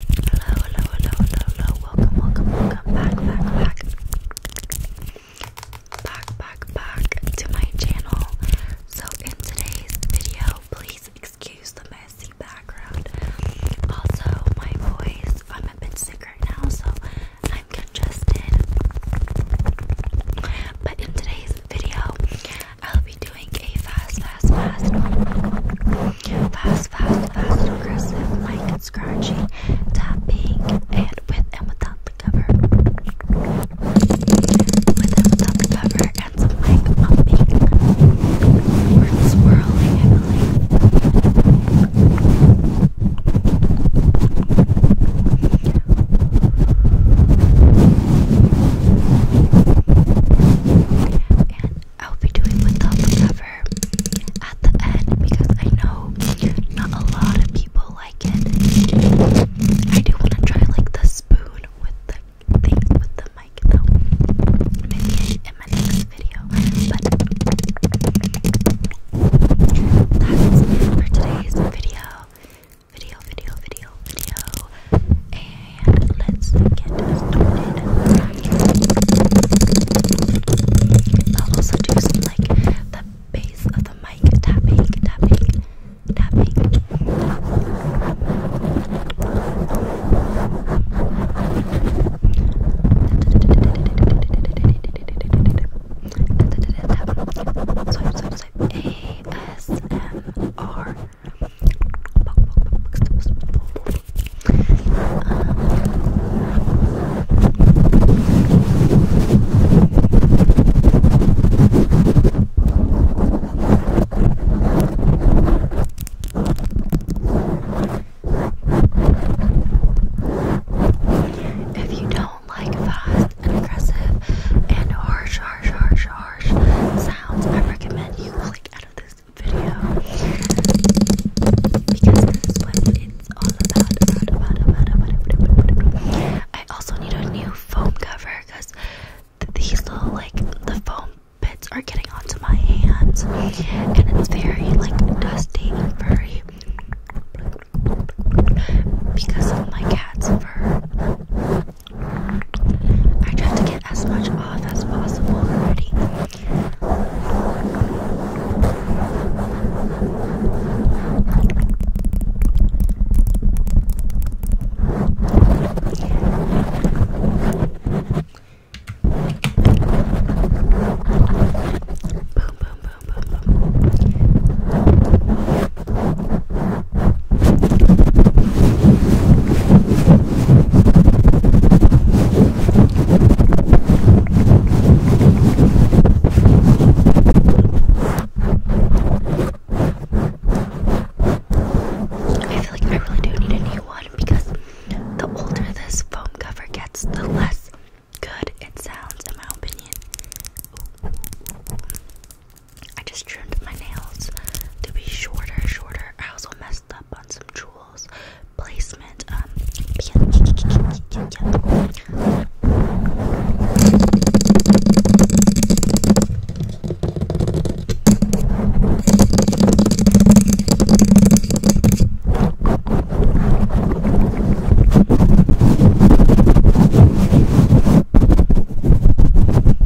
Hello, hello, hello, hello, Welcome, welcome, welcome back, back. Back, back, back to my channel. So, in today's video, please excuse the messy background. Also, my voice, I'm a bit sick right now, so I'm congested. But in today's video, I'll be doing a fast, fast, fast Fast, fast, fast, aggressive, like and scratchy, tapping, and with and without the cover. With and without the cover, and some like bumping, or swirling, And I'll be doing without the cover at the end because I know not a lot of people like it. I do want to try like the spoon with the thing with the mic though. Maybe in my next video. But that's it for today's video. Video, video, video, video. And let's get started. I'll also do some like the base of the mic tapping, tapping, tapping. Swipe, if you don't like fast and aggressive and harsh, harsh, harsh, harsh sounds, I recommend you click out of this first video because this is what it's all about. about, about, about, about, about, about. I also need a new foam cover because these little like the foam bits are getting onto my hands and it's very like dusty and furry because of my cat's fur. I try to get as much off as possible already. Boom, boom, boom, boom, boom. I feel like I really do need a new one because the older this foam cover gets, the less good it sounds, in my opinion. I just trimmed my nails to be shorter, shorter. I also messed up on some jewels placement. Um,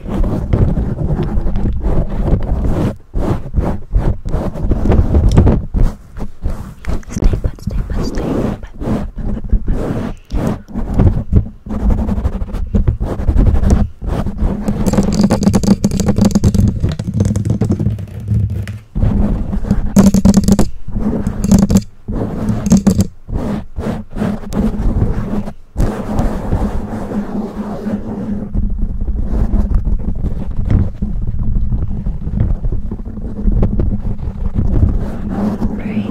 Stay put, stay put, stay put, put, put, put, put. Brain,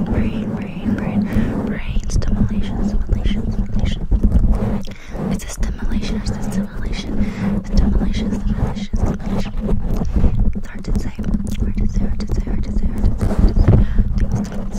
brain, brain, brain, brain stimulation, stimulation, stimulation. It's a stimulation, it's a stimulation, stimulation, stimulation, stimulation. It's hard to say, hard to say, hard to say, hard to say, hard to say, hard to say.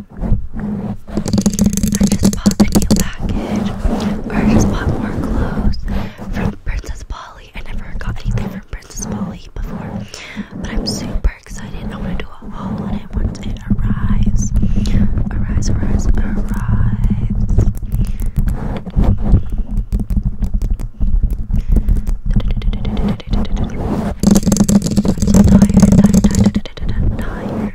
I just bought a new package, I just bought more clothes from Princess Polly. I never got anything from Princess Polly before, but I'm super excited. I want to do a haul on it once it arrives. Arrives, arrives, arrives. I'm tired, tired, tired, tired, tired.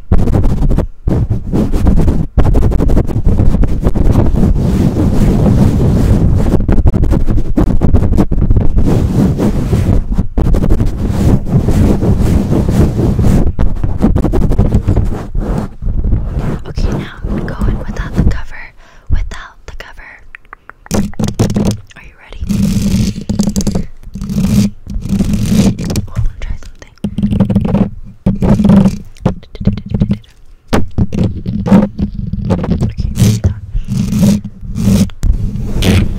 Okay, now I'm going without the cover. Without the cover. Are you you ready? Oh, I want to try something. Okay,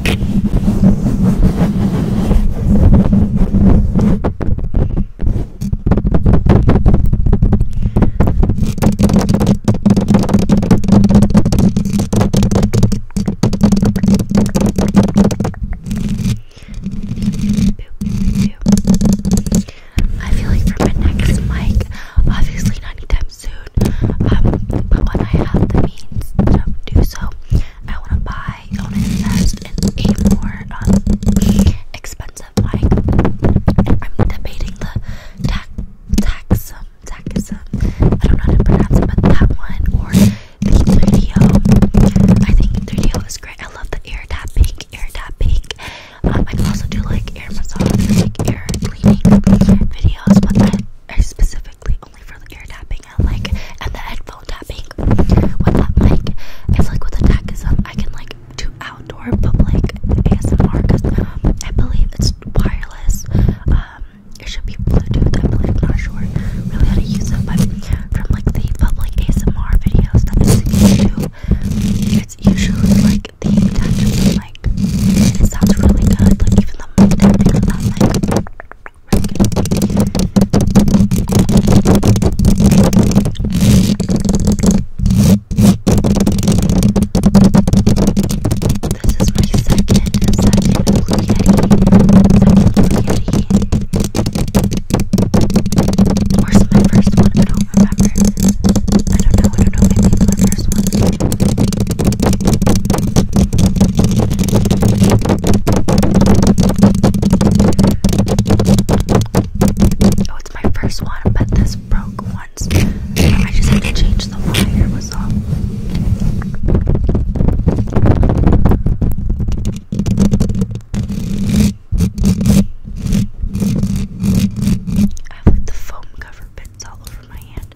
that's done. I feel like for my next mic, obviously not anytime soon, um, but when I have the means to do so, I want to buy, I invest in a more um, expensive mic. I'm debating the tax, tax, um, Zakism. Um, I don't know how to pronounce it, but that one or the video. I think the video is great. I love the air tapping, air tapping. Um, I also do like air massage, like cleaning videos, but specifically only for the air tapping and like and the headphone tapping with that mic. I like with the Zakism, um, I can like do outdoor, but like ASMR I believe it's wireless. Um, it should be Bluetooth, I believe, I'm not sure really how to use it, but from like the public ASMR videos that I do, it's usually like the touch like it sounds really good, like even the mic tapping on that this is my second, second blue Second blue yeti. my first one? I don't remember. I do I don't know, maybe it's my first one. Oh, it's my first one, but this broke once. I just had to change the wire was off. I have like the foam cover bits all over my hand.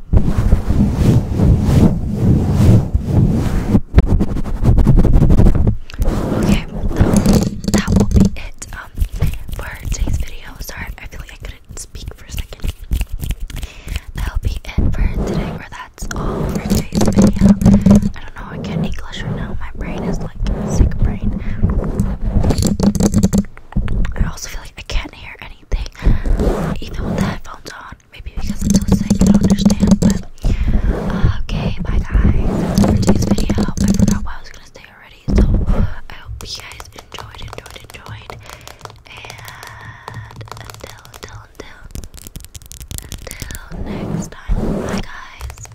Okay, that will be it um, for today's video. Sorry, I feel like I couldn't speak for a second. That'll be it for today, that's all for today's video. I don't know, I can't English right now. My brain is like sick brain. I also feel like I can't hear anything, even the headphones on. Maybe because I'm so sick, I don't understand. But uh, okay, bye guys. for today's video. I forgot what I was gonna say already, so I hope you guys enjoyed, enjoyed, enjoyed. And until, until, until next time, bye guys.